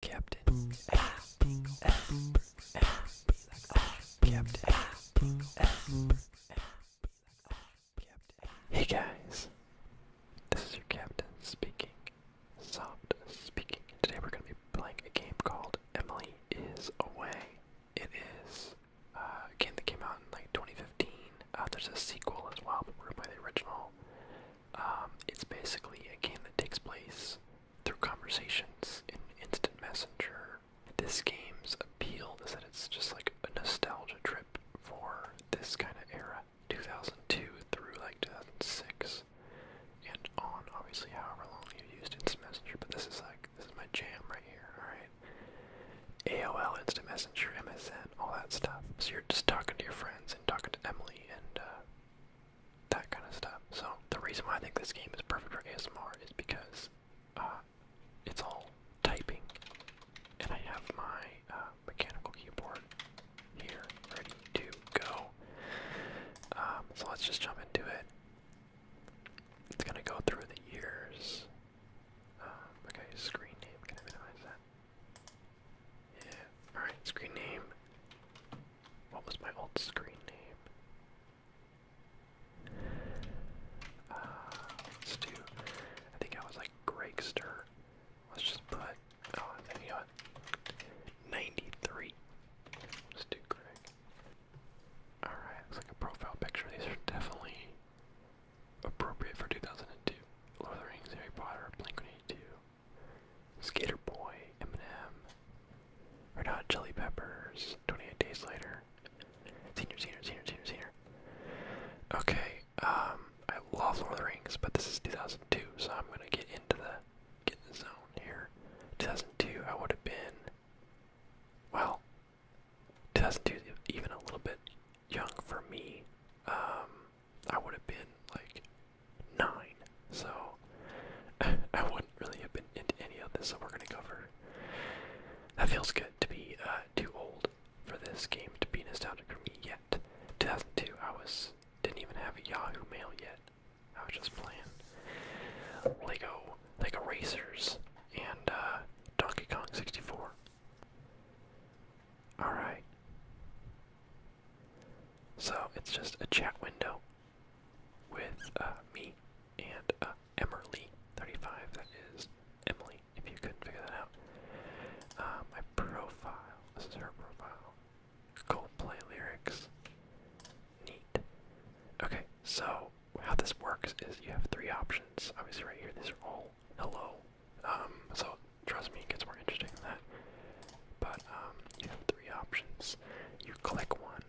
Captain Hey guys, this is your captain speaking, soft speaking. Today we're going to be playing a game called Emily is Away. It is uh, a game that came out in like 2015. Uh, there's a sequel as well, but we're going to play the original. Um, it's basically a game that takes place through conversations in Instant Messenger. This game's appeal is that it's just like a nostalgia trip for this kind of era 2002 through like 2006 and on, obviously, however long you used Instant Messenger. But this is like, this is my jam right here, alright? AOL, Instant Messenger, MSN, all that stuff. So you're just talking to your friends and talking to Emily and uh, that kind of stuff. So the reason why I think this game is perfect for ASMR is because uh, it's all typing, and I have my uh, mechanical keyboard here ready to go. Um, so let's just jump into it. It's gonna go through the years. Um, okay, screen name. Can I minimize that? Yeah. Alright, screen name. What was my old screen name? Uh, let's do. I think I was like Gregster. Let's just put. Oh, Let's do Greg. Alright, looks like a profile picture. These are definitely appropriate for 2002. Lord of the Rings, Harry Potter, Blink 182. Skater Boy, Eminem, Red Hot Chili Peppers, 28 Days Later, Senior, Senior, Senior, Senior, Senior. Okay, um, I love Lord of the Rings, but this is 2002, so I'm gonna get into the, get in the zone here. 2002, I would have been, well, 2002 even a little bit young for me. Um, I would have been like nine, so I wouldn't really have been into any of this that we're gonna cover. That feels good to be uh, too old for this game to be nostalgic for me yet. 2002, I was didn't even have Yahoo Mail yet. I was just playing Lego, Lego Racers, and uh, Donkey Kong 64. All right. So it's just a chat window with uh, me and uh, Emily That is Emily, if you couldn't figure that out. Uh, my profile. This is her profile. play lyrics. Neat. Okay, so how this works is you have three options. Obviously, right here, these are all hello. Um, so trust me, it gets more interesting than that but um, you have three options. You click one,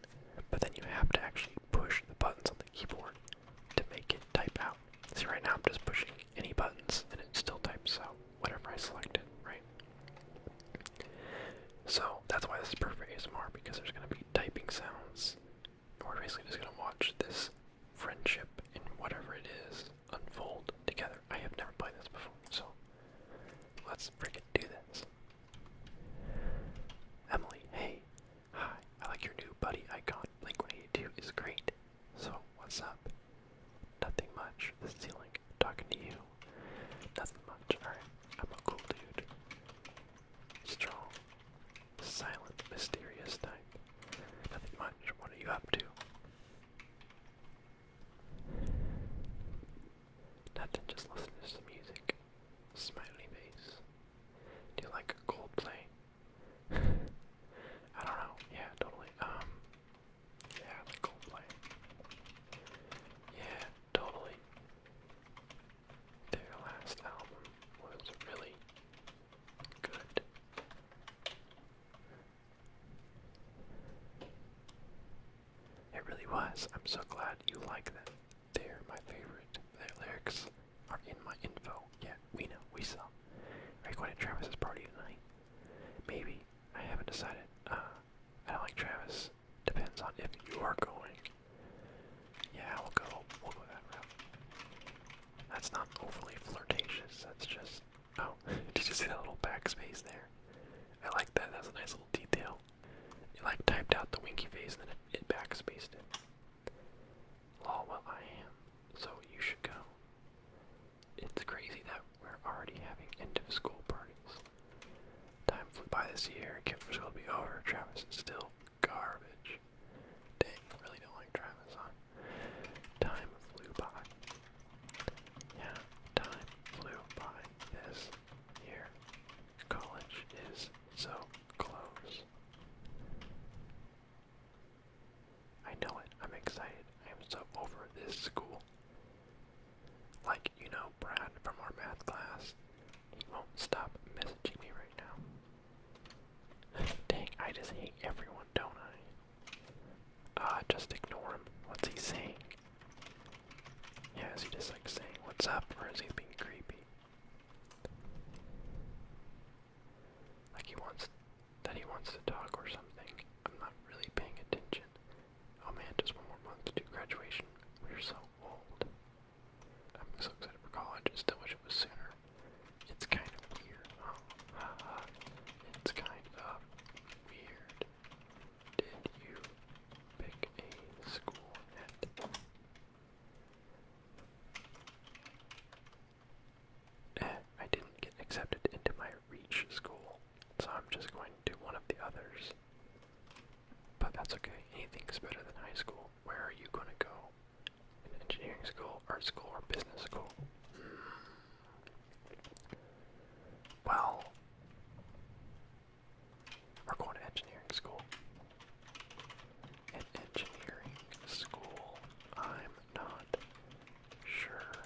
but then you have to actually push the buttons on the keyboard to make it type out. See, right now I'm just pushing any buttons and it still types out whatever I selected, right? So that's why this is perfect ASMR because there's going to be typing sounds. we're basically just going to watch this friendship and whatever it is unfold together. I have never played this before, so let's freaking do this. Emily, hey. Hi, I like your new buddy icon. Blink 182 is great. So, what's up? Nothing much. This is the link. Talking to you. Nothing much. Alright, I'm a cool dude. Strong, silent, mysterious type. Nothing much. What are you up to? Nothing, just listen to some music. Smiley face. Do you like Coldplay? I don't know. Yeah, totally. Um, yeah, I Coldplay. Yeah, totally. Their last album was really good. It really was. I'm so glad you like them. They're my favorite. Their lyrics are in my info. Yeah, we know, we saw. Are you going to Travis's party tonight? Maybe. I haven't decided. Uh, I don't like Travis. Depends on if you are going. Yeah, we'll go. We'll go that route. That's not overly flirtatious. That's just Oh, did you see that little backspace there? I like that. That's a nice little detail. You like typed out the winky face and then it, backspaced it. Lol, well I am. So you should go. It's crazy that we're already having end of school parties. Time flew by this year. Camp for school be over. Travis is still garbage. Dang, really don't like Travis, huh? Time flew by. Yeah, time flew by this year. College is so close. I know it. I'm excited. I am so over this school. Like, you know, Brad from our math class, he won't stop messaging me right now. Dang, I just hate everyone, don't I? Ah, just ignore him. What's he saying? Yeah, is he just like saying what's up or is he being creepy? Like he wants that he wants to talk or something. I'm not really paying attention. Oh man, just one more month to graduation. We're so old. I'm so excited for college. I still wish it was sooner. It's kind of weird. it's kind of weird did you pick a school eh, I didn't get accepted into my reach school, so I'm just going to one of the others. But that's okay, anything's better than high school. Where are you gonna go? engineering school, art school, or business school? Hmm. Well, we're going to engineering school. An engineering school. I'm not sure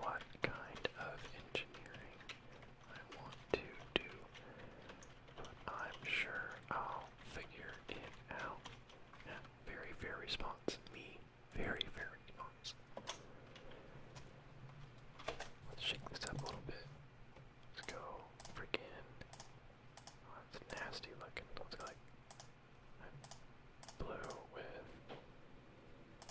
what kind of engineering I want to do, but I'm sure I'll figure it out. very, very response. Me. Very, very nice. Let's shake this up a little bit. Let's go freaking. Oh, that's nasty looking. Let's go like blue with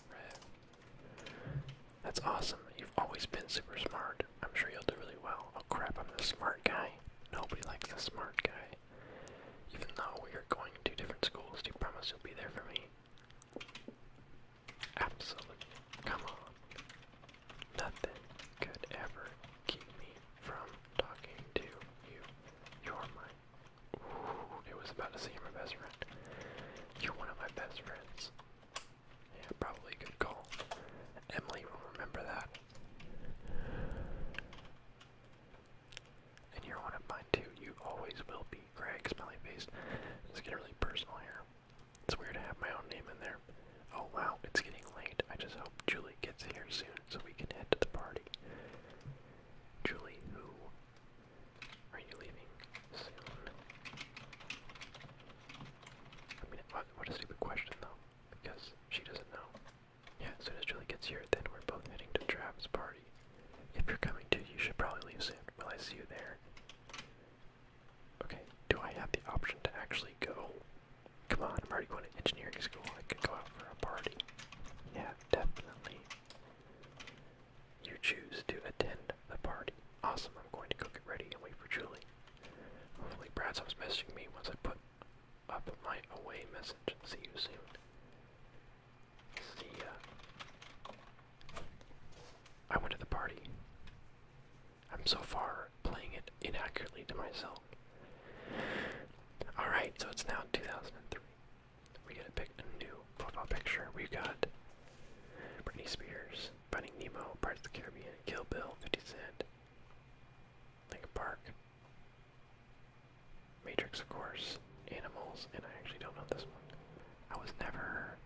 red. That's awesome. You've always been super smart. I'm sure you'll do really well. Oh crap, I'm the smart guy. Nobody likes the smart guy. Even though we are going to different schools, do you promise you'll be there for me? Absolutely. Come on. Nothing could ever keep me from talking to you. You're my. Ooh, it was about to say my best friend. You're one of my best friends. Yeah, probably a call. Emily will remember that. And you're one of mine too. You always will be. Greg, smelly face. It's getting really personal here. It's weird to have my own name in there. Oh wow, it's getting late. I just hope Julie gets here soon so we can head to the party. Julie, who are you leaving soon? I mean, what, what a stupid question though, because she doesn't know. Yeah, as soon as Julie gets here, then we're both heading to Travis' party. If you're coming to, you should probably leave soon. Will I see you there? Okay, do I have the option to actually go? Come on, I'm already going to engineering school. I could go out for a party. Yeah, definitely. You choose to attend the party. Awesome, I'm going to go get ready and wait for Julie. Hopefully Brad stops messaging me once I put up my away message. See you soon. I went to the party. I'm so far playing it inaccurately to myself. Alright, so it's now 2003. We gotta pick a new profile picture. we got Britney Spears, Finding Nemo, Pirates of the Caribbean, Kill Bill, 50 Cent, Linkin Park. Matrix, of course, Animals, and I actually don't know this one. I was never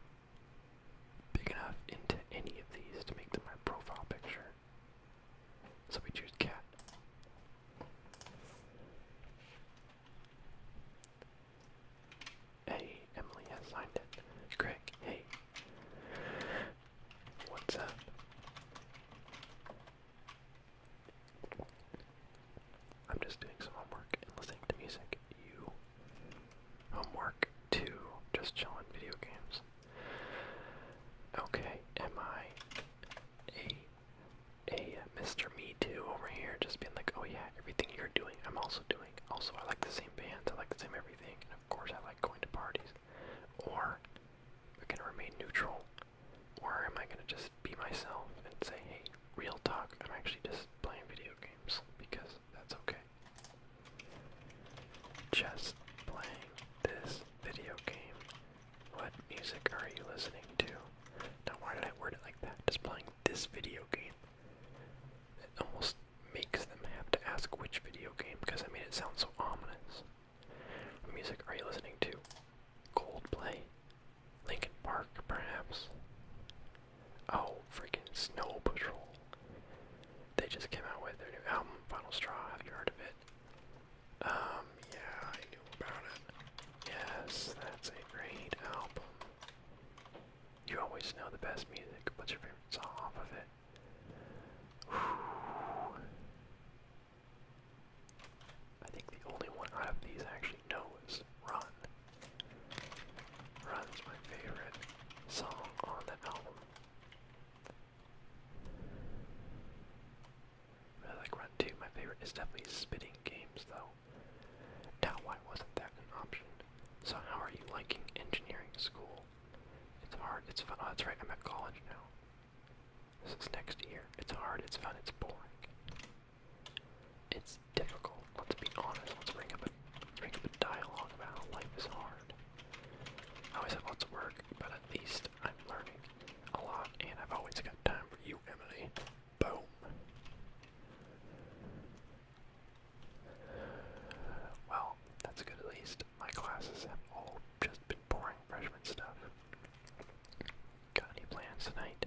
big enough into any of these to make them my profile picture. So we choose cat. Hey, Emily has signed it. Greg, hey. What's up? I'm just doing some homework and listening to music. You. Homework to just chillin' video games. Okay, am I a a Mr. Me Too over here? Just being like, oh yeah, everything you're doing, I'm also doing. Also, I like the same bands, I like the same everything, and of course, I like going to parties. Or, am I gonna remain neutral? Or am I gonna just be myself and say, hey, real talk, I'm actually just playing video games because that's okay. Just playing this video game. What music are you listening to? Now, why did I word it like that? Just playing this video game. It almost makes them have to ask which video game because I made it sound so ominous. music are you listening to? Coldplay? Lincoln Park, perhaps. Oh, freaking Snow Patrol. They just came out with their new album, Final Straw. Have you heard of it? Um, yeah, I knew about it. Yes, that's a great album. You always know the best music. What's your favorite song off of it? I think the only one I've these I actually know is Run. Run's my favorite song on the album. I like Run too. My favorite is definitely Spitting Games though. Now why wasn't that an option? So how are you liking engineering school? It's hard, it's fun. Oh, that's right, I'm at college now. This is next year. It's hard, it's fun, it's boring. It's difficult. Let's be honest. Let's bring up a bring up a dialogue about life is hard. I always have lots of work, but at least I'm learning a lot, and I've always got time for you, Emily. Boom. Well, that's good at least. My classes have all just been boring freshman stuff. Got any plans tonight?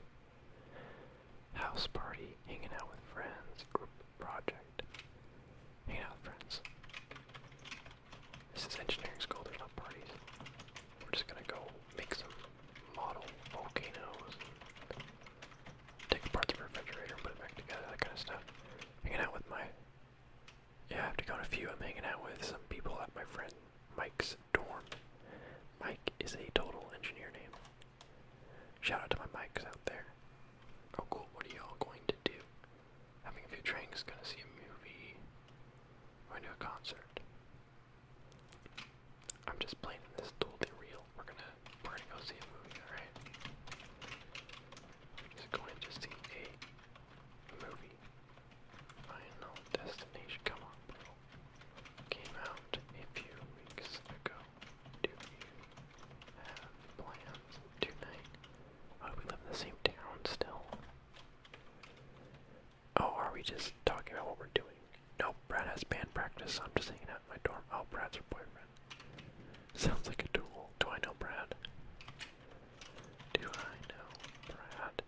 House party, hanging out with friends, group project, hanging out with friends. This is engineering school, there's no parties. We're just gonna go make some model volcanoes, take apart the refrigerator and put it back together, that kind of stuff. Hanging out with my. Yeah, I have to go on a few. I'm hanging out with some people at my friend Mike's dorm. Mike is a total engineer name. Shout out to my Mikes out there. Oh cool, what are y'all going to do? Having a few drinks, gonna see a movie, going to a concert. I'm just playing this totally real. We're gonna we're gonna go see a movie, alright? Just going to see a movie. Final destination. Come on, bro came out a few weeks ago. Do you have plans tonight? Oh, we live in the same town still. Oh, are we just talking about what we're doing? No, Brad has band practice, I'm just hanging out my dorm. Oh, Brad's her boyfriend. Sounds like a duel. Do I know Brad? Do I know Brad?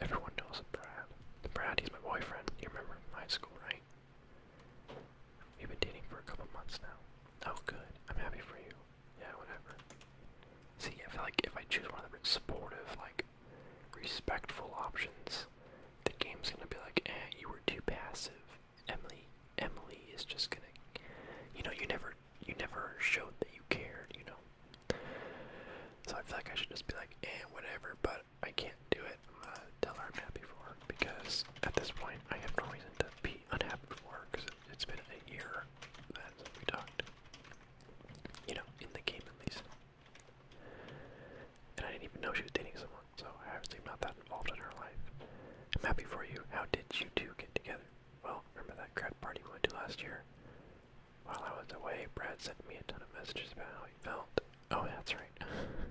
Everyone knows Brad. Brad, he's my boyfriend. You remember from high school, right? We've been dating for a couple months now. Oh, good. I'm happy for you. Yeah, whatever. See, I feel like if I choose one of the supportive, like, respectful options, the game's gonna be like, eh, you were too passive. Emily, Emily is just gonna, you know, you never, you never showed that you cared, you know. So I feel like I should just be like, eh, whatever, but I can't do it. I'm gonna tell her I'm happy for her because at this point I have no reason to be unhappy for her because it's been a year that we talked. You know, in the game at least. And I didn't even know she was dating someone, so I obviously am not that involved in her life. I'm happy for you. How did you two get together? Well, remember that grad party we went to last year? While I was away, Brad sent me a ton of messages about how he felt. Oh, that's right.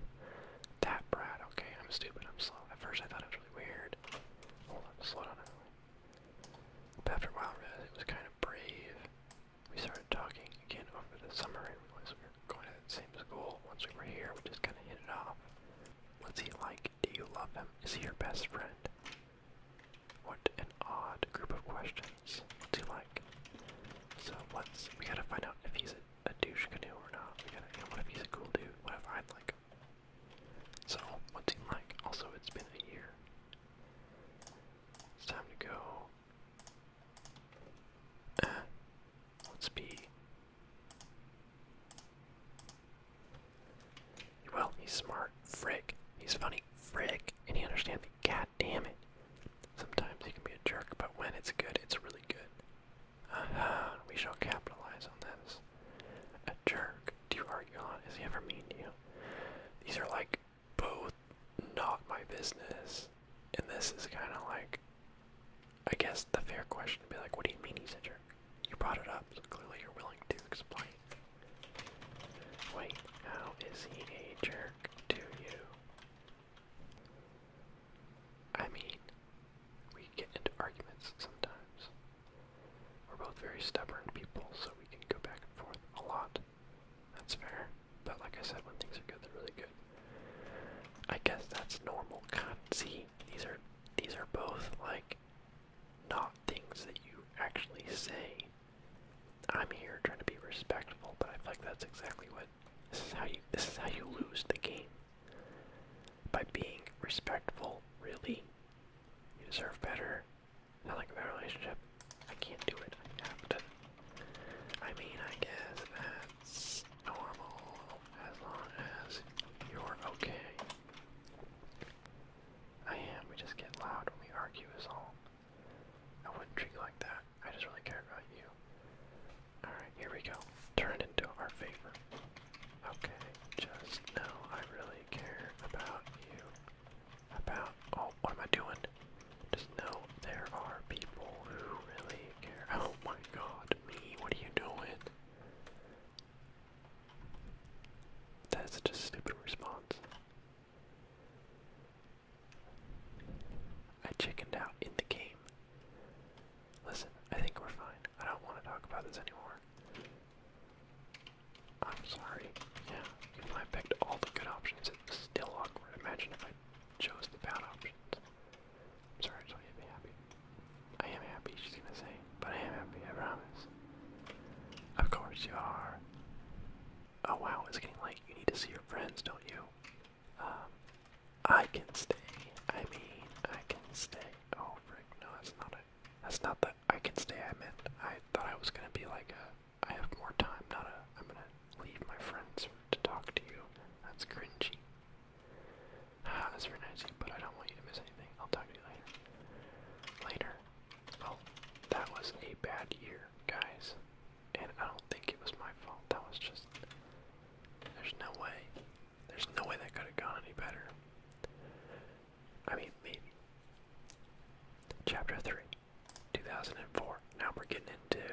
that Brad, okay, I'm stupid, I'm slow. At first I thought it was really weird. Hold on, slow down everyone. But after a while, I realized it was kind of brave. We started talking again over the summer and we were going to the same school. Once we were here, we just kind of hit it off. What's he like? Do you love him? Is he your best friend? What an odd group of questions. What's he like? So what's we gotta find out if he's a, douche canoe or not. We gotta you what if he's a cool dude? What if I'd like So what's he like? Also it's been a year. It's time to go. Uh, let's be well, he's smart, frick. He's funny, frick, and he understands God damn it. Sometimes he can be a jerk, but when it's good, it's really good. uh -huh. we shall capitalize on this. A jerk, do you argue a lot? Is he ever mean to you? These are like both not my business. And this is kind of like, I guess the fair question would be like, what do you mean he's a jerk? You brought it up, so clearly you're willing to explain. Wait, how is he a jerk? work you. I mean, we get into arguments sometimes. We're both very stubborn people, so we can go back and forth a lot. That's fair. But like I said, when things are good, they're really good. I guess that's normal. God, these are these are both like not things that you actually say. I'm here trying to be respectful, but I feel like that's exactly what this is how you this is how you lose the game. By being respectful, really. You deserve better. I like a relationship. I can't do it. I have to. I mean, I guess that's normal as long as you're okay. I am. We just get loud when we argue, is all. I wouldn't treat you like that. I just really care about you. Alright, here we go. Turn into our favor. Okay, just know I really care about you. About. Oh, what am I doing? Just know there are people who really care. Oh my god, me, what are you doing? That's just a stupid response. I chickened out in the game. Listen, I think we're fine. I don't want to talk about this anymore. I'm sorry. Yeah, even though I picked all the good options, it's still awkward. Imagine if I chose the bad options. I'm sorry, I just want you happy. I am happy, she's gonna say. But I am happy, I promise. Of course you are. Oh wow, it's getting late. you need to see your friends, don't you? Um, I can stay. I mean, I can stay. Oh frick, no, that's not it. That's not that I can stay I meant. I thought I was gonna be like a I have more time, not a I'm gonna leave my friends to talk to you. That's cringy. Ah, that's very nice, but I don't want you to miss anything. I'll talk to you later. Later. Well, that was a bad year, guys. And I don't think it was my fault. That was just. There's no way. There's no way that could have gone any better. I mean, maybe. Chapter 3, 2004. Now we're getting into.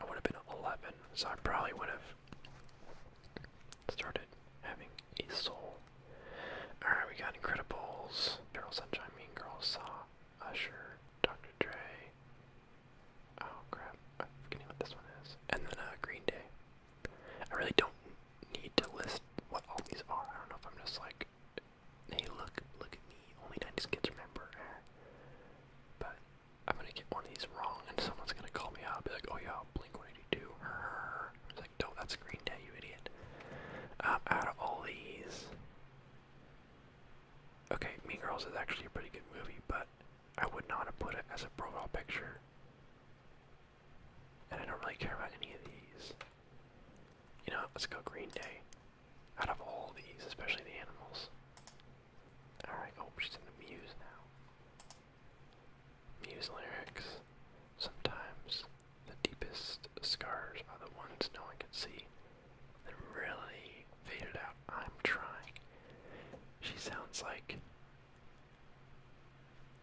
I would have been 11, so I probably would have started having a soul. Alright, we got Incredibles, Girl Sunshine, Mean Girls, Saw. Usher, Dr. Dre. Oh crap, I'm forgetting what this one is. And then uh, Green Day. I really don't need to list what all these are. I don't know if I'm just like, hey, look, look at me. Only 90s kids remember. But I'm gonna get one of these wrong, and someone's gonna call me out. I'll be like, oh yeah, Blink 182. It's like, no, that's Green Day, you idiot. Uh, out of all these, Okay, Mean Girls is actually a pretty good movie, but I would not have put it as a profile picture. And I don't really care about any of these. You know, let's go Green Day. Out of all these, especially the animals. Alright, oh, she's in the Muse now. Muse lyrics. Sometimes the deepest scars are the ones no one can see. they really faded out. I'm trying. She sounds like.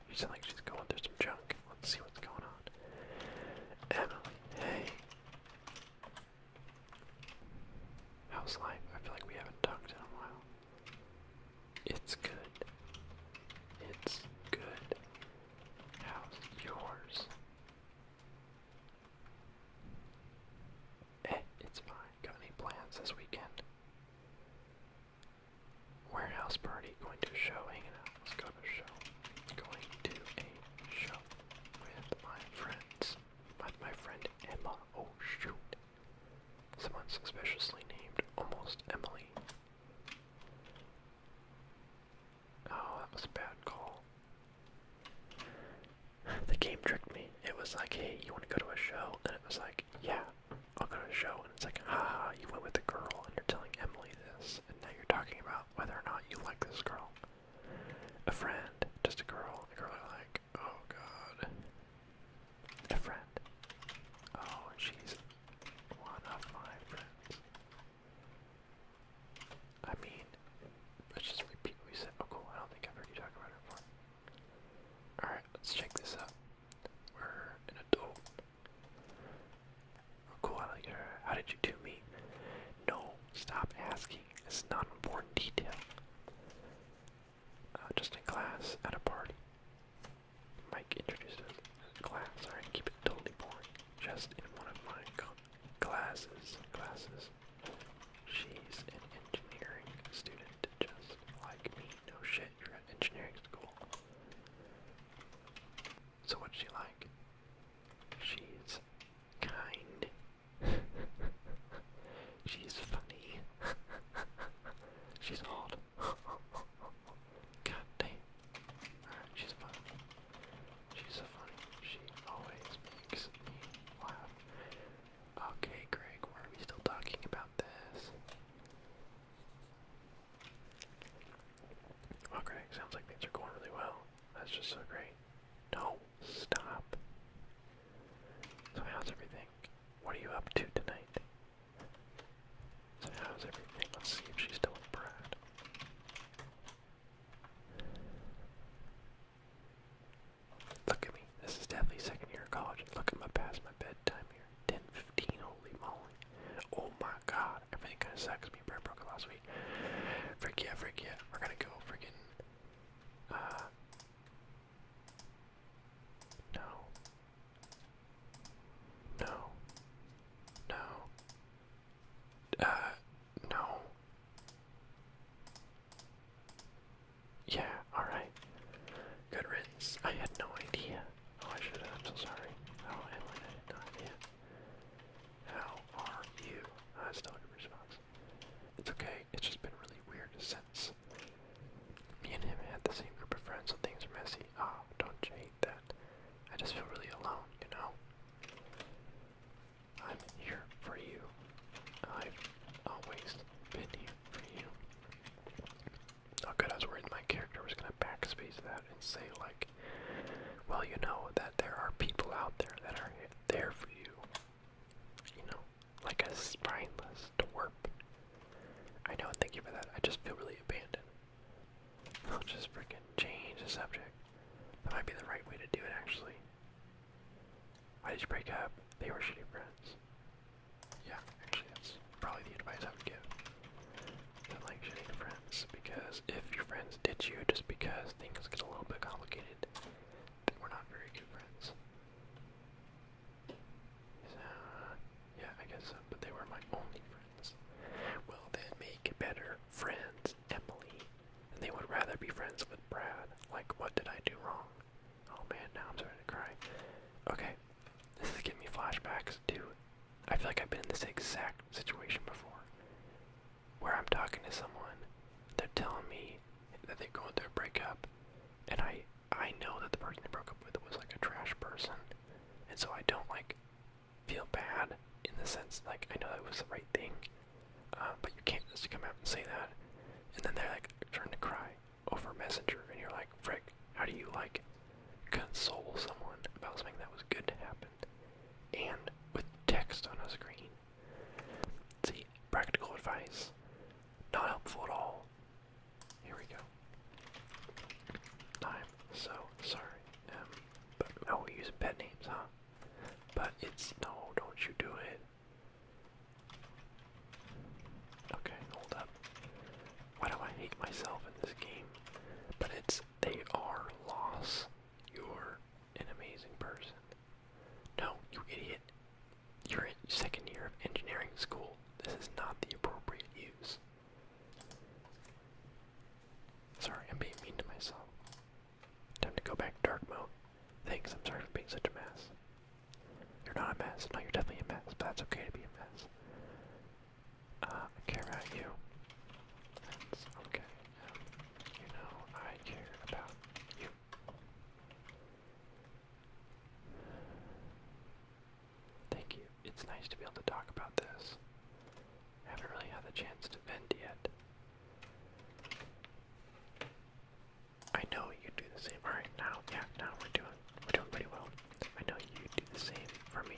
She sounds like she's going through some junk. Let's see what's going on. Emily, hey. How's life? I feel like we haven't talked in a while. It's good. It's good. How's yours? Eh, it's fine. Got any plans this weekend? Warehouse party, going to a show, hanging out. let a show. Going to a show with my friends. With my friend Emma. Oh shoot. Someone suspiciously named almost Emily. Oh, that was a bad call. The game tricked me. It was like, hey, you want to go to a show? And it was like, yeah, I'll go to a show. And it's like, haha, you went with a girl and you're telling Emily this. And now you're talking about whether or not you like this girl. A friend, just a girl. A girl I like, oh god. A friend. Oh, she's one of my friends. I mean, let's just repeat what we said. Oh, cool. I don't think I've heard you talk about it before. Alright, let's check this out. We're an adult. Oh, cool. I like her. How did you two meet? No, stop asking. This is not important detail. Uh, just in class, at a party. Mike introduced us in class. Alright, keep it totally boring. Just in one of my Glasses, glasses. She's an engineering student, just like me. No shit, you're at engineering school. So what's she like? She's kind. She's funny. She's hot. God damn. she's fun. She's so funny. She always makes me laugh. Okay, Greg, why are we still talking about this? Well, Greg, sounds like things are going really well. That's just so great. No, stop. So how's everything? What are you up to tonight? So how's everything? Let's see if she's still with Brad. Look at me. This is definitely second year of college. Look at my past my bedtime here. 10 15, holy moly. Oh my god. Everything kinda sucks. Me and Brett broke last week. Freak yeah, freak yeah. We're gonna go freaking uh, No. No. No. Uh, no. Yeah, alright. Good riddance. I had no idea. Oh, I should have. I'm so sorry. I had no idea. How are you? I still have a response. It's okay. It's just been really weird since. Me and him had the same group of friends, so things are messy. Ah, don't you that. I just feel really alone, you know? I'm here for you. I've always been here for you. Oh good, I was worried my character was gonna backspace that and say like, well, you know that there are people out there that are there for you. You know, like a spineless twerp. I know, thank you for that. I just feel really abandoned. I'll just freaking change the subject. That might be the right way to do it, actually. Why did you break up? They were shitty friends. Yeah, actually, that's probably the advice I would give. Don't like shitty friends, because if your friends ditch you just because things get a little bit complicated, then we're not very good friends. So, yeah, I guess but they were my only friends. Well, then make better friends befriends Emily than they would rather be friends with Brad. Like, what did I do wrong? Oh man, now I'm starting to cry. Okay, this is giving me flashbacks to. I feel like I've been in this exact situation before, where I'm talking to someone, they're telling me that they're going through a breakup, and I I know that the person I broke up with was like a trash person, and so I don't like feel bad in the sense like I know that was the right thing, uh, but you can't just come out and say that. And then they're like trying to cry over Messenger, and you're like, frick, how do you like console someone about something that was good to happen? And with text on a screen. See, practical advice, not helpful at all. Here we go. I'm so sorry. Um, but oh, no, we pet names, huh? But it's no, don't you do it. Okay, hold up. Why do I hate myself in this game? But it's they are loss. You're an amazing person. No, you idiot. You're in second year of engineering school. This is not the appropriate use. Sorry, I'm being mean to myself. Time to go back dark mode. Thanks, I'm sorry for being such a mess. You're not a mess. No, you're definitely a mess, but that's okay to be a mess. Uh, I care about you. That's okay. you know, I care about you. Thank you. It's nice to be able to talk about this. I haven't really had the chance to vent yet. I know you do the same. Alright, now, yeah, now we're doing, we're doing pretty well. I know you do the same for me.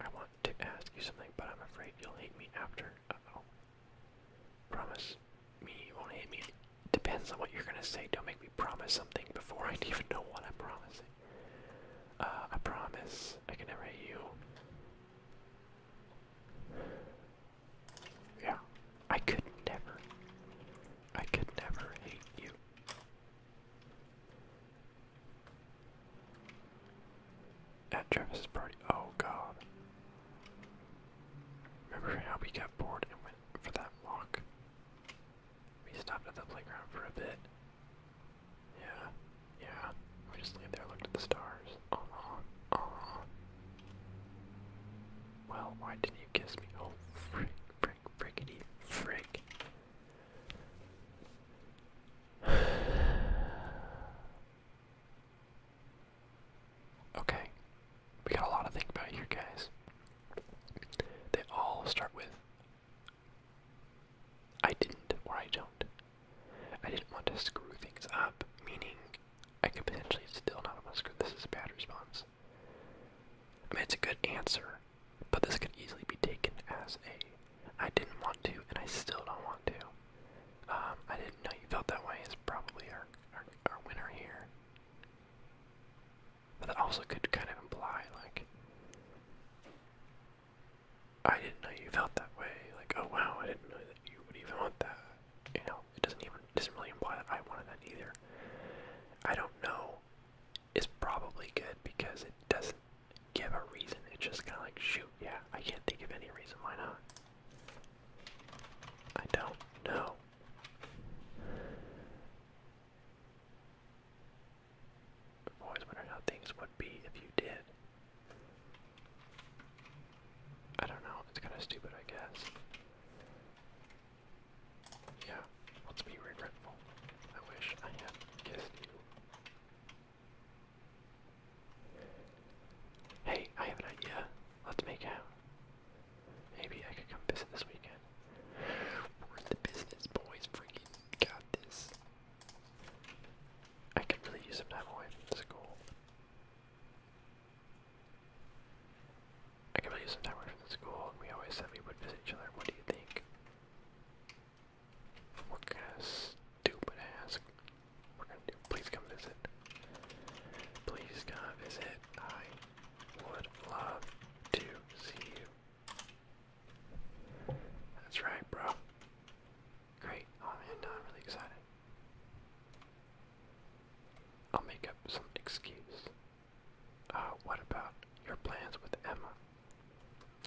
I want to ask you something, but I'm afraid you'll hate me after. oh. Promise me you won't hate me Depends on what you're gonna say. Don't make me promise something before I even know what I'm promising. Uh, I promise I can never hate you. Yeah, I could never. I could never hate you. At Travis's party. Oh god. Remember how we got bored and went for that walk? We stopped at the playground for a bit. Yeah, yeah. We just laid there looked at the stars. Uh huh, uh-huh. Well, why didn't you kiss me? Oh, frick, frick, frickety, frick. okay, we got a lot to think about here, guys. They all start with I didn't or I don't. I didn't want to screw things up, meaning I could potentially still not want to screw this is a bad response. I mean it's a good answer, but this could easily be taken as a I didn't want to and I still don't want to. Um, I didn't know you felt that way is probably our, our winner here. But that also could kind of imply, like, I didn't know you felt that way. Like, oh wow, I didn't know that you would even want that. You know, it doesn't even doesn't really imply that I wanted that either. I don't know. Is probably good because it doesn't give a reason. It's just kind of like, shoot, yeah, I can't think of any reason why not. I don't know i always wondered how things would be if you did. I don't know, it's kind of stupid, I guess. Yeah, let's be regretful. I wish I had kissed you. Hey, I have an idea. Let's make out. Maybe I could come visit this weekend. the business, boys. Freaking got this. I could really use some time away from school. I could really use some time away from the school, and we always said we would visit each other. What do you think? What kind of stupid ass we're gonna do? Please come visit. Please come visit. I would love to see you. That's right, bro. Great. Oh, I'm really excited. I'll make up some excuse. Uh, what about your plans with Emma?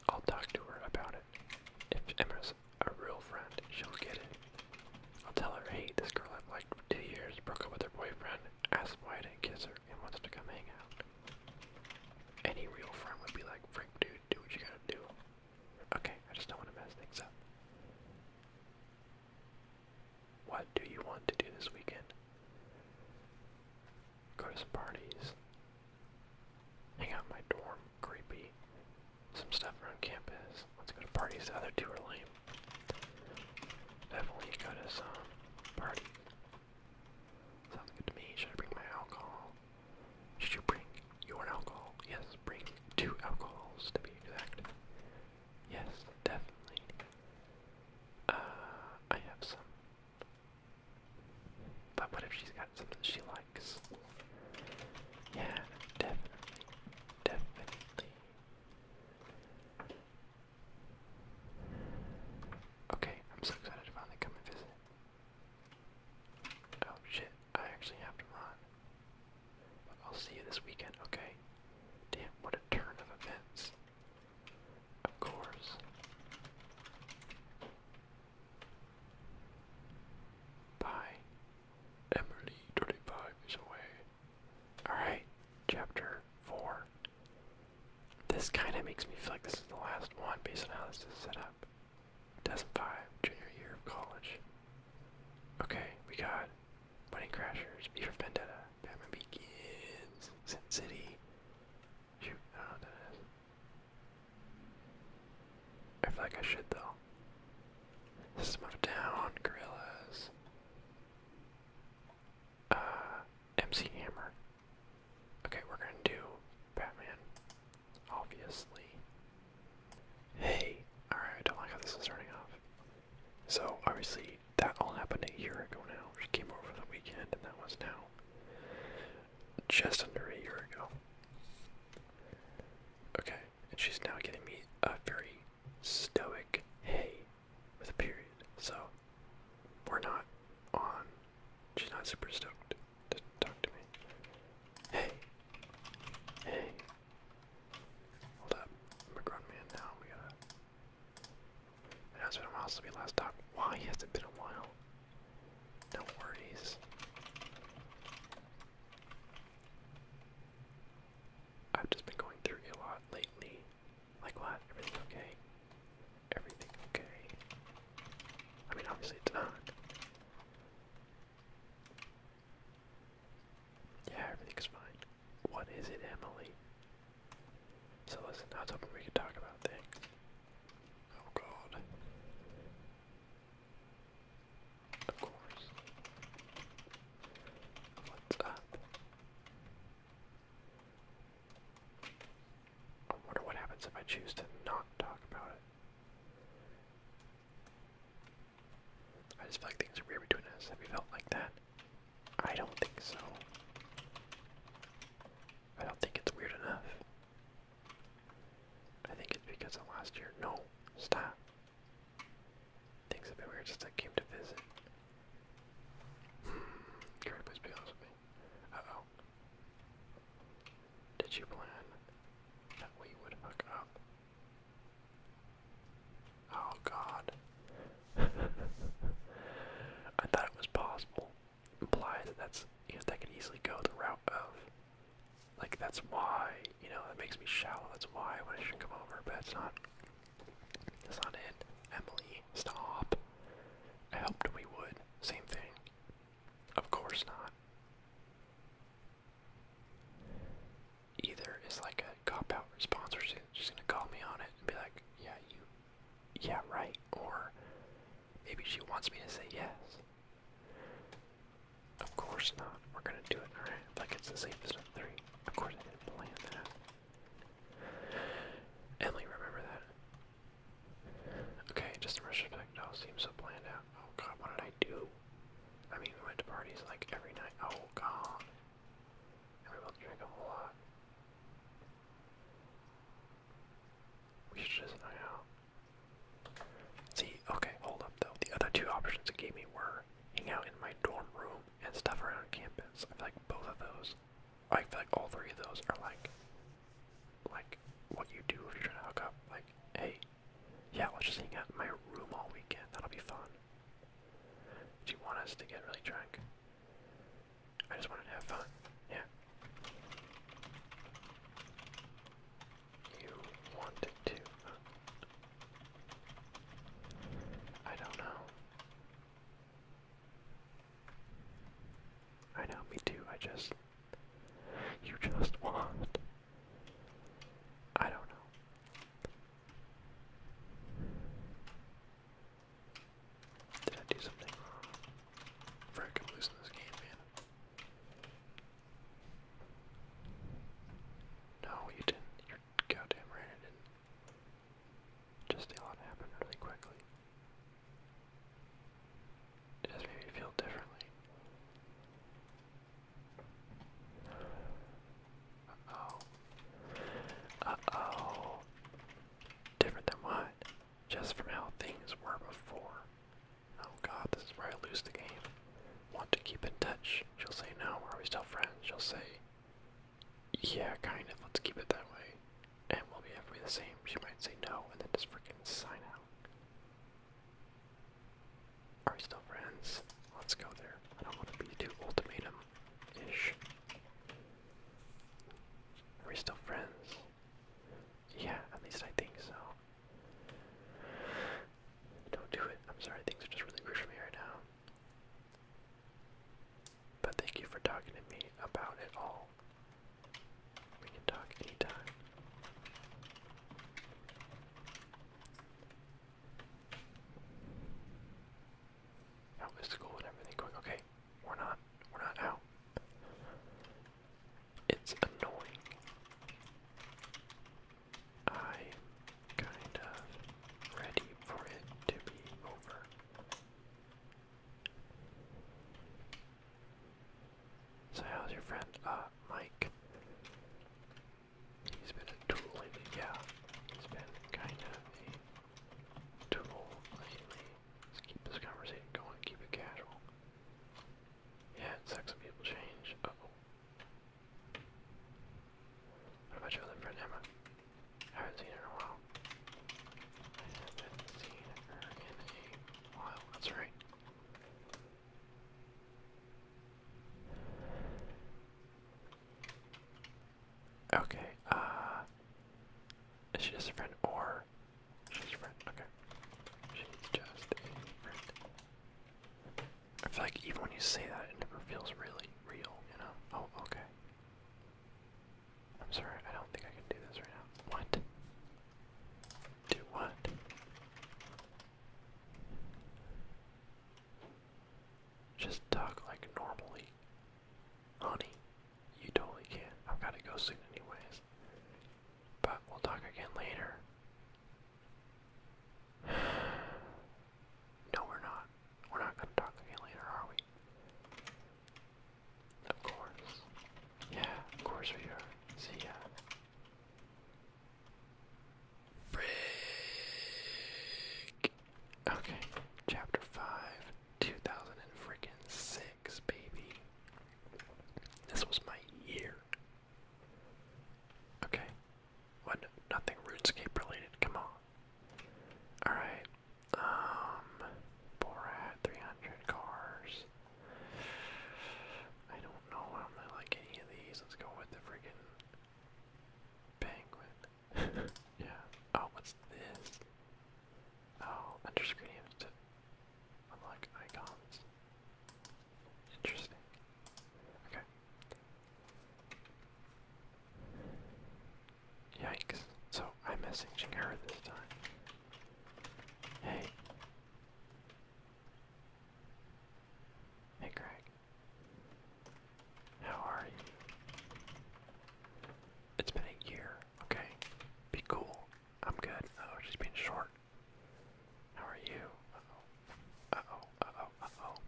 I'll talk to her about it. If Emma's a real friend, she'll get it. I'll tell her, hey, this girl I've liked two years, broke up with her boyfriend, asked why I didn't kiss her, and wants to come hang out. Any real friend would be like, Frank, dude, do what you gotta do. Okay, I just don't want to mess things up. What do you want to do this weekend? Go to some parties. Hang out my dorm, creepy. Some stuff around campus. Let's go to parties. The other two are lame. Definitely go to some party. Sounds good to me. Should I bring my alcohol? Should you bring your alcohol? Yes, bring two alcohols to be exact. Yes, definitely. Uh, I have some. But what if she's got something she likes? Yeah, definitely. Definitely. Okay, I'm so excited to finally come and visit. Oh shit, I actually have to run. I'll see you this weekend, okay? Damn, what a turn of events. Of course. Bye. Emily, 35 is away. Alright, chapter 4. This kind of makes me feel like this is the last one based on how this is set up. Dozen 5, junior year of college. Okay, we got Bunny Crashers, Beaver Vendetta, Batman Begins, Sin City. Shoot, I don't know what I feel like I should though. System Down, Gorillas uh, MC Hammer. Okay, we're gonna do Batman, obviously. Hey, alright, I don't like how this is starting off. So, obviously, that all happened a year ago now. She came over the weekend, and that was now just under a year ago. Okay, and she's now getting me a very stoic, hey, with a period. So we're not on. She's not super stoked to talk to me. Hey, hey. Hold up, I'm a grown man now. We gotta. It has been a while since we last talked. Why has it been a while? No worries. I've just been going through a lot lately. Like what? Everything okay? Everything okay? I mean, obviously it's not. Yeah, everything's fine. What is it, Emily? So listen, I was hoping we could talk about things. Oh god. Of course. What's up? I wonder what happens if I choose to not talk about it. I just feel like things are weird between us. Have you felt like that? I don't think so. I don't think it's weird enough. I think it's because of last year. No, stop. Things have been weird since I came to visit. Hmm. Gary, please me. Uh-oh. Did you plan that we would hook up? Oh god. I thought it was possible. Implies that's you know that could easily go the route of like that's why, you know, that makes me shallow, that's why I I should come over, but it's not that's not it. Emily, stop. I hoped we would. Same thing. Of course not. Either is like a cop out response, or she's gonna call me on it and be like, yeah, you, yeah, right. Or maybe she wants me to say yes. Of course not. We're gonna do it, alright? Like it's the safest of three. Of course I didn't plan that. Emily, remember that. Okay, just a rush effect. Oh, seems so planned out. Oh god, what did I do? I mean, we went to parties like every night. Oh god. And we both drank a lot. We should just hang out. See, okay, hold up though. The other two options it gave me were hang out in my dorm room and stuff around campus. I feel like both of those, I feel like all three of those are like, like what you do if you're trying to hook up. Like, hey, yeah, let's just hang out in my room all weekend. That'll be fun. Do you want us to get really drunk? I just wanted to have fun. Yeah. You wanted to. I don't know. I know, me too. I just. You just want. I don't know. Did I do something wrong? losing this game, man. No, you didn't. You're goddamn right, I didn't. Just a lot happened really quickly. It just made me feel differently. Uh-oh. Uh-oh. Different than what? Just from how things were before. Oh god, this is where I lose the game. Want to keep in touch? She'll say no. Are we still friends? She'll say yeah, kind of. Let's keep it that way. And we'll be every the same. She might say no and then just freaking sign out. Are we still friends? Let's go there. I don't want to be too ultimatum ish. Are we still friends? Yeah, at least I think so. Don't do it. I'm sorry, things are just really weird for me right now. But thank you for talking to me about it all. We can talk anytime. How is school and everything going? Okay, we're not. We're not out. It's annoying. I kind of ready for it to be over. So how's your friend? Uh, Mike. He's been a tool lately. Yeah, he's been kind of a tool lately. Let's keep this conversation going, keep it casual. Yeah, it people change. oh about your friend Emma? I haven't seen her in a while. I haven't seen her in a while. That's right. Okay, uh is just a friend or she's a friend? Okay. She's just a friend. I feel like even when you say that, it never feels really real, you know? Oh, okay. I'm sorry, I don't think I can do this right now. What? Do what? Just talk like normally. Honey, you totally can. I've got to go soon, anyways. But we'll talk again later. No, we're not. We're not gonna talk again later, are we? Of course. Yeah, of course we are. See ya. Frick. Okay, chapter 5, 2006, baby. This was my year. Okay, what? Nothing RuneScape related, come on. Alright. Um Borat, 300 cars. I don't know I'm going like any of these. Let's go with the friggin' penguin. yeah. Oh, what's this? Oh, enter unlock icons. Interesting. Okay. Yikes. So I'm messaging her this time. Hey. Hey, Greg. How are you? It's been a year. Okay. Be cool. I'm good. Oh, just being short. How are you? Uh oh. Uh oh. Uh oh. Uh oh.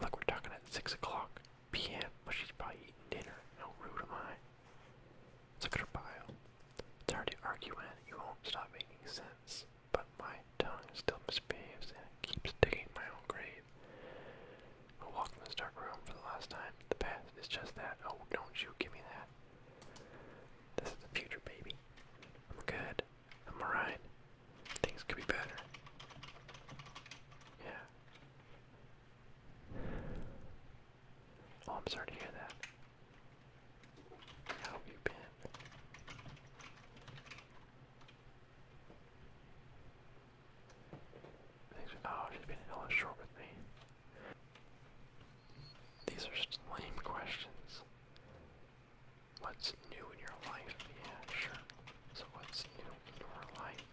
Look, we're talking at 6 o'clock p.m., but she's probably eating dinner. How rude am I? look at her bio. It's already arguing, you won't stop making sense, but my tongue still misbehaves and keeps digging my own grave. I walked in this dark room for the last time. The past is just that. Oh, don't you give me that. This is the future, baby. I'm good. I'm alright. Things could be better. Yeah. Oh, I'm sorry to hear that. How have you been? oh, she's been hella short with me. These are lame questions. What's new in your life? Yeah, sure. So what's new in your life?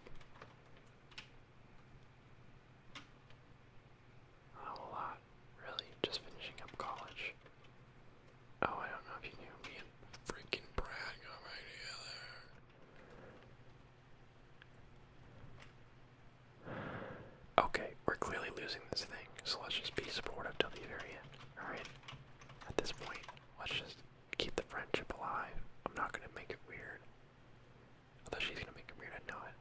a lot, really. Just finishing up college. Oh, I don't know if you knew me and freaking Brad got right together. Okay, we're clearly losing this thing, so let's just be supportive till the very end. Alright? At this point, let's just keep the friendship alive. I'm not gonna make it weird. Although she's gonna make it weird, I know it.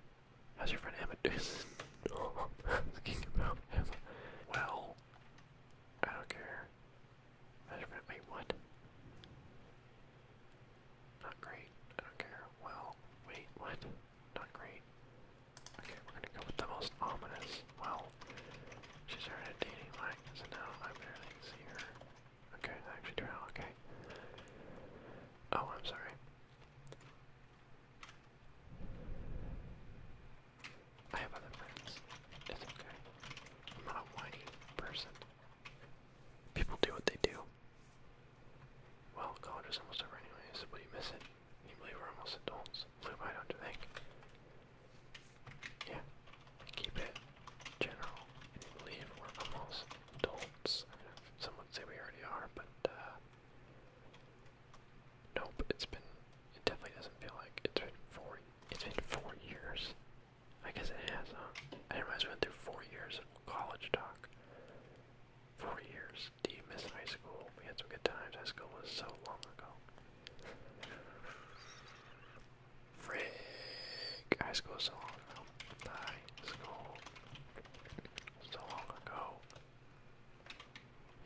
How's your friend Emma thinking about Emma. Well, I don't care. How's your friend? Wait, what? Not great. I don't care. Well, wait, what? Not great. Okay, we're gonna go with the most ominous. Wow. She started dating Mike, so now I barely see her. Okay, I actually do okay. Oh, I'm sorry. I have other friends. It's okay. I'm not a whiny person. People do what they do. Well, college is almost over anyway. anyways. Will you miss it? Can you believe we're almost adults? Blue, I don't you think? Yeah, keep it general and believe we're almost adults. I know some would say we already are, but uh, nope. It's been. It definitely doesn't feel like it's been four. It's been four years. I guess it has. Huh? I didn't realize we went through four years of college talk. Four years. Do you miss high school? We had some good times. High school was so long ago. Frig. High school so long ago. High school. So long ago.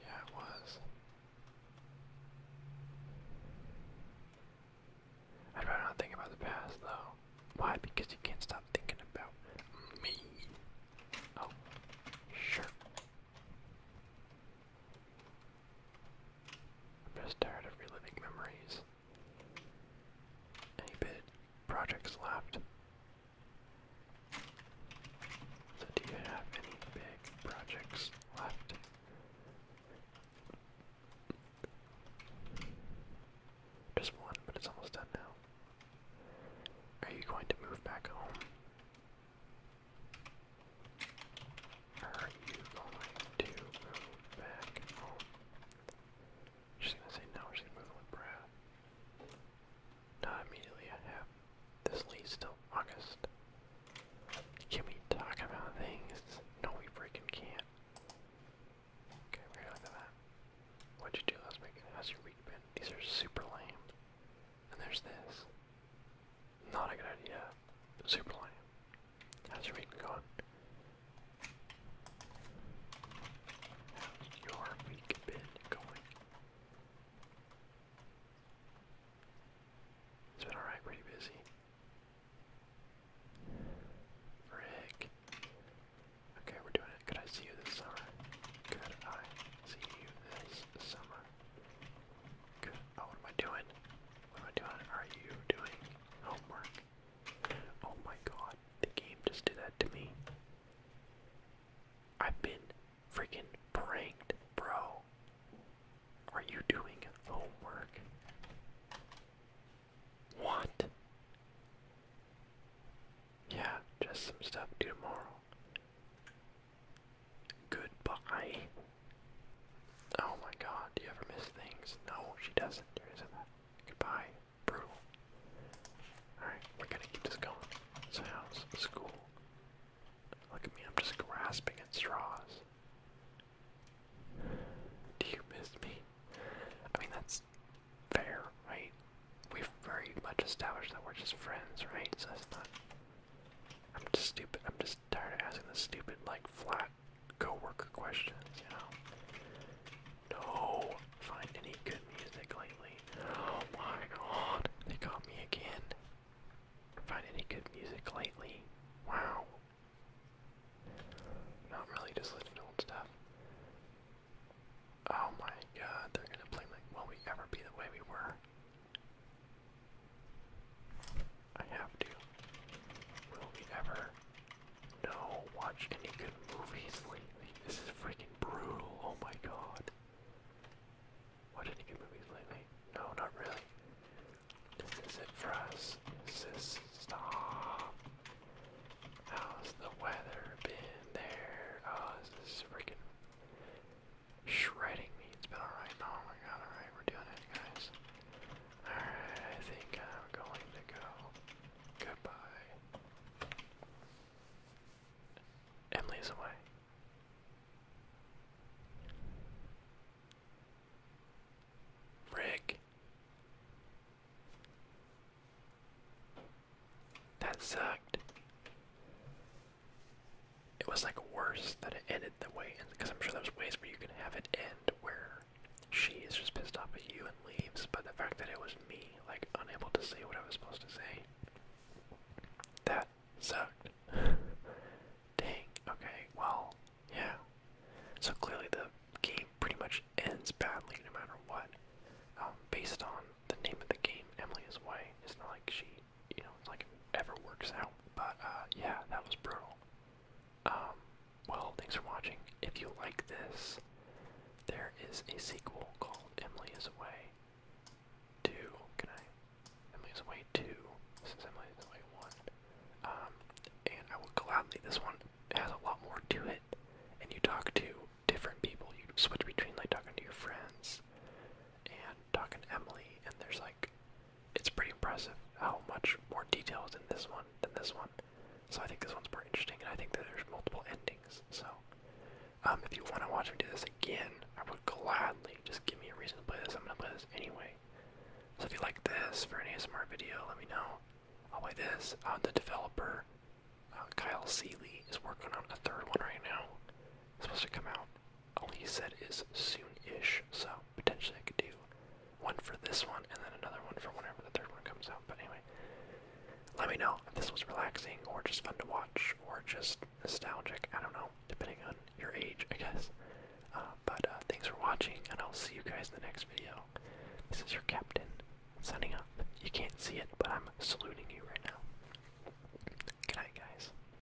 Yeah, it was. I'd rather not think about the past, though. Why? Because you can't stop thinking about me. Oh, sure. I'm just tired of reliving memories. Any bid projects left? So do you have any big projects left? Just one, but it's almost done now. Are you going to move back home? Are you going to move back home? Oh. She's gonna say no, she's going with Brad. Not immediately, I have this lease till August. Can we talk about things? No, we freaking can't. Okay, we're gonna that. What'd you do last week? How's your week been? These are super lame. And there's this. Not a good idea. Super Lion. How's your week going? How's your week been going? It's been alright, pretty busy. Rick. Okay, we're doing it. Could I see you this summer? Could I see you this summer? Oh, what am I doing? What am I doing? Are you doing homework? Oh my god, the game just did that to me. I've been freaking pranked, bro. Are you doing homework? What? Yeah, just some stuff due tomorrow. Goodbye. Oh my god, do you ever miss things? No, she doesn't. Goodbye. Brutal. Alright, we're gonna keep this going. house, school. Look at me, I'm just grasping at straws. Do you miss me? I mean, that's fair, right? We've very much established that we're just friends, right? So that's not I'm just stupid. I'm just tired of asking the stupid, like, flat coworker questions, you know? No! Find any good music lately. Oh my god, they got me again. Find any good music lately. Wow. Not really just listening to old stuff. Oh my god, they're gonna blame like, will we ever be the way we were? I have to. Will we ever no watch any good movies lately? This is freaking brutal. Oh my god. Watch any good movies lately? No, not really. This is it for us. This is stop. How's the weather been there? Oh, this is freaking shredding me. It's been alright. Oh my god, alright, we're doing it, guys. Alright, I think I'm going to go. Goodbye. Emily's away. Rick. That sucked it was like worse that it ended the way because I'm sure there's ways where you can have it end where she is just pissed off at you and leaves, but the fact that it was me, like unable to say what I was supposed to say, that sucked. Dang. Okay. Well, yeah. So clearly the game pretty much ends badly no matter what. Um, based on the name of the game, Emily is white. It's not like she you know, like ever works out. But uh, yeah, that was brutal. Um, well, thanks for watching. If you like this, there is a sequel called Emily is Away 2. Can I? Emily is Away 2. This is Emily is Away 1. Um, and I will gladly, this one has a lot more to it. And you talk to different people. You switch between like talking to your friends and talking to Emily. And there's like it's pretty impressive how much more detail is in this one than this one. So I think this one's more interesting, and I think that there's multiple endings. So um, if you want to watch me do this again, I would gladly just give me a reason to play this. I'm gonna play this anyway. So if you like this for an ASMR video, let me know. I'll play this. Uh, the developer uh, Kyle Seeley is working on a third one right now. It's supposed to come out all he said is soon-ish, so potentially I could do one for this one and then another one for whenever the third one comes out. But anyway, let me know if this was relaxing or just fun to watch or just nostalgic. I don't know, depending on your age, I guess. Uh, but uh, thanks for watching, and I'll see you guys in the next video. This is your captain signing up. You can't see it, but I'm saluting you right now. Good night, guys.